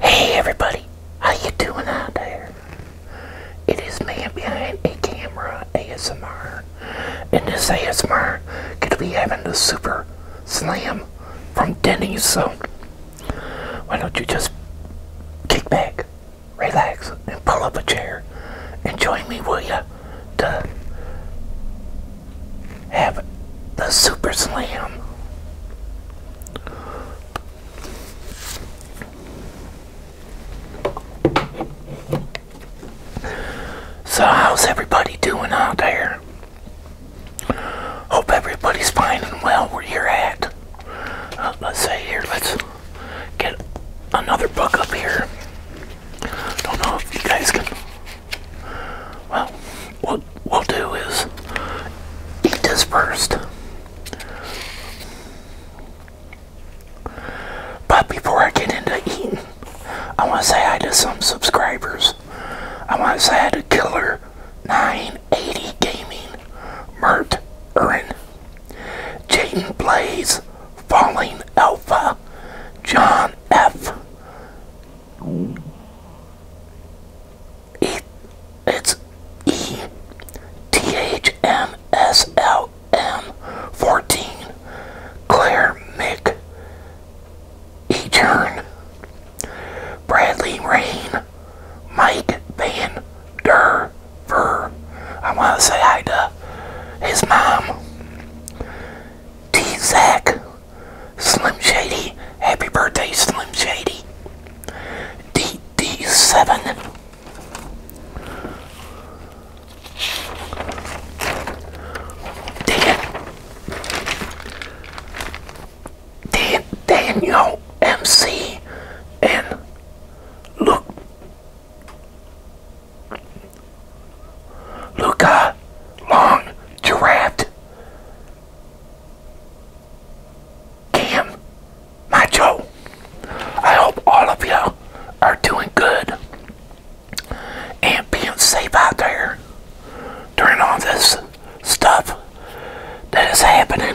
Hey everybody, how you doing out there? It is me behind a camera ASMR. and this ASMR, could be having a super slam from Denny's, so why don't you just kick back, relax, and pull up a chair and join me, will ya? To have the Super Slam. So, how's everybody doing out there? Hope everybody's fine and well where you're at. Uh, let's say here, let's get another book up here. Don't know if you guys can. Well, what? we'll do is eat this first. But before I get into eating, I want to say hi to some subscribers. I want to say hi to Killer980 Gaming, Mert Erin, Jaden Blaze, Falling Alpha, John F. It, it's E T H M S L M 14 Claire Mick Etern Bradley Rain Mike Van Der Ver. I want to say hi to his mom. T Zach Slim Shady. Happy birthday, Slim Shady. D D 7 Dan. Dan. Daniel MC and Luke. Luca Long Giraffe Damn, Macho. I hope all of you are doing good and being safe out there during all this stuff that is happening.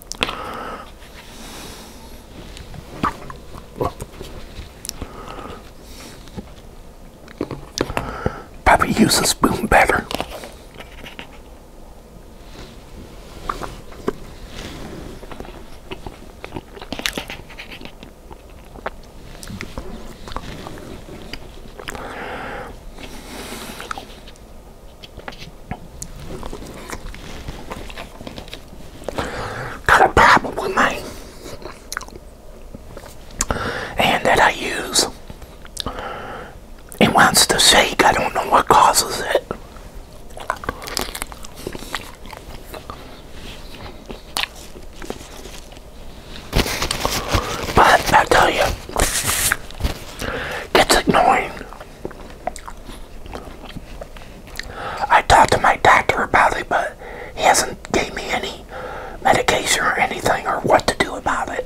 Probably use a spoon better. Got a problem with my hand that I use. It wants to shake. I don't know what causes it. But I tell you, it's annoying. I talked to my doctor about it, but he hasn't gave me any medication or anything or what to do about it.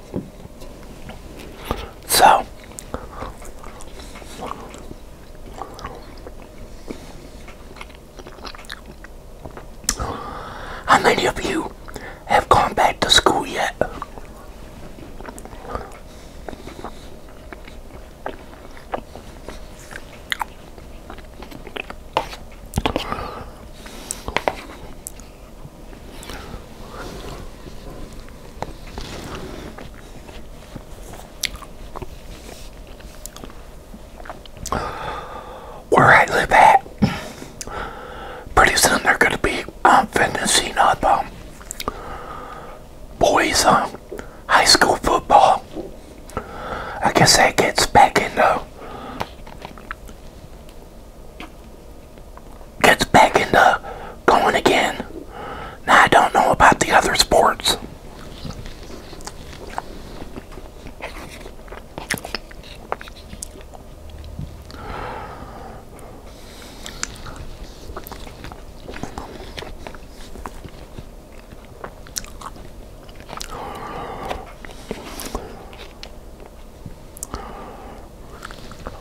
So how many of you have gone back to school yet? Where I live at, pretty soon they're going to be um, finishing up um, boys' um, high school football. I guess that gets back into gets back into going again. Now, I don't know about the other sports.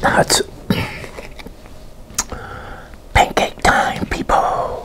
That's pancake time, people.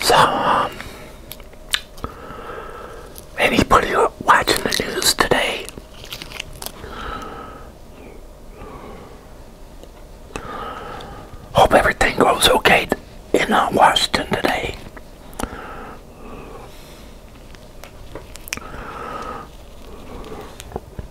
So, um, anybody watching the news today? Hope everything goes okay in uh, Washington today.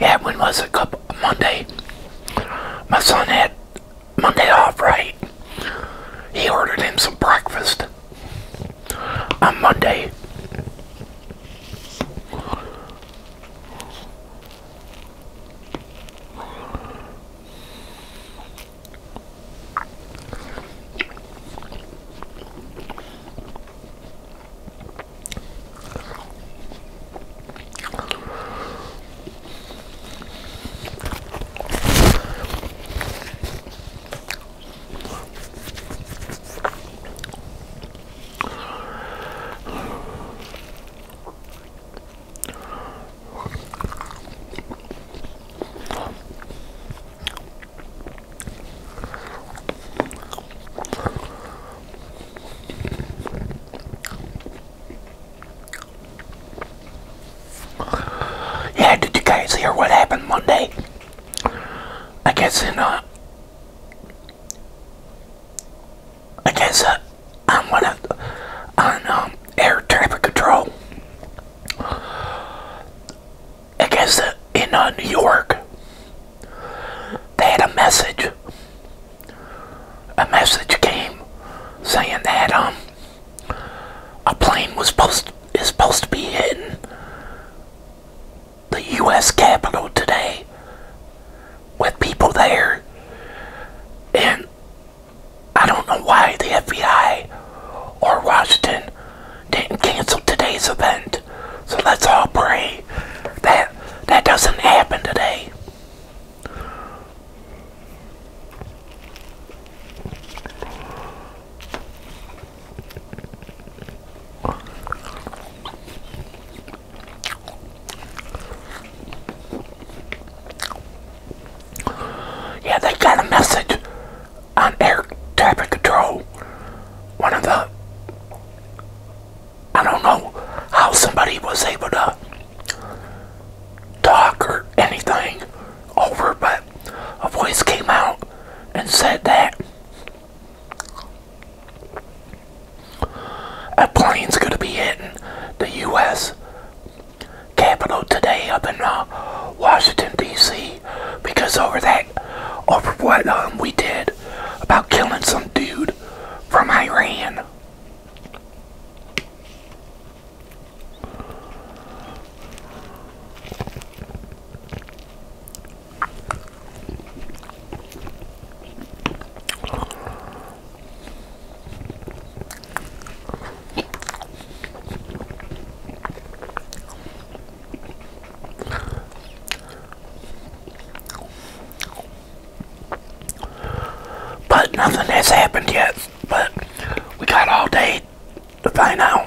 Yeah, when was it? Monday. My son had Monday off, right? He ordered him some breakfast on Monday. Yeah, did you guys hear what happened Monday? I guess in uh, I guess uh, I'm one of on um, air traffic control. I guess uh, in uh, New York, they had a message. A message came saying that um a plane was supposed is supposed to be in the U.S. Capitol today with people there. And I don't know why the FBI or Washington didn't cancel today's event. So let's all pray that that doesn't happen today. Yeah, they got a message on air traffic control. One of the, I don't know how somebody was able to talk or anything over, but a voice came out and said that a plane's going to be hitting the U.S. Capitol today up in uh, Washington, D.C. because over that, over what um, we did about killing some dude from Iran. But nothing has happened yet, but we got all day to find out.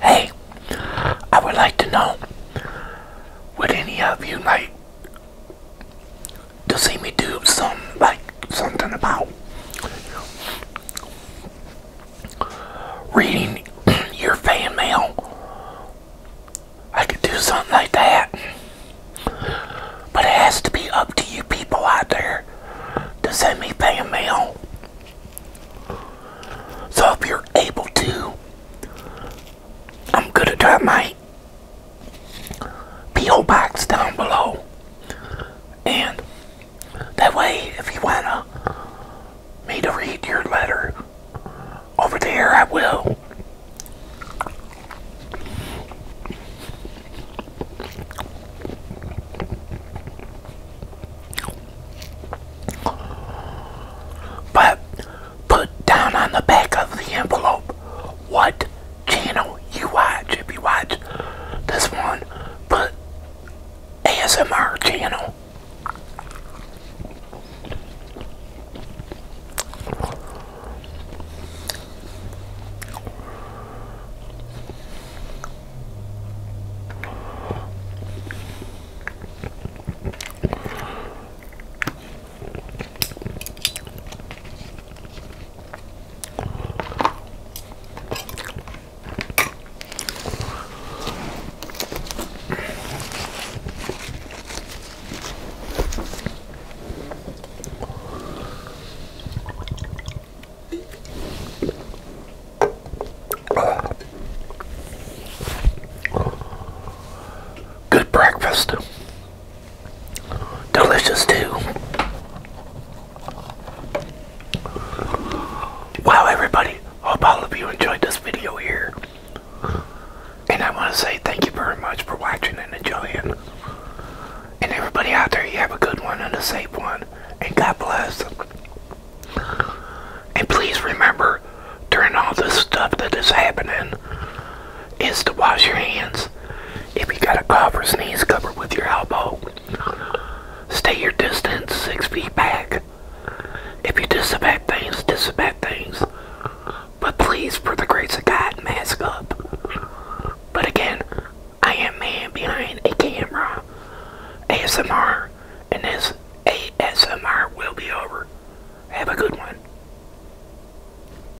Hey, I would like to know would any of you like to see me do some like something about reading your fan mail. I could do something like that. But it has to be up to you people out there to send me fan mail. So if you're able to, I'm going to try my P.O. box down below. And that way, if you want to me to read your letter over there, I will. But put down on the back of the envelope what channel you watch. If you watch this one, put ASMR channel. Good breakfast delicious too. Wow, everybody, hope all of you enjoyed this video here. And I want to say thank you very much for watching and enjoying. And everybody out there, you have a good one and a safe one. And God bless. And please remember, during all this stuff that is happening, is to wash your hands. If you got a cough or sneeze, cover with your elbow. Stay your distance six feet back. If you disinfect things, disinfect things. But please, for the grace of God, mask up. But again, I am man behind a camera. ASMR, and this ASMR will be over. Have a good one.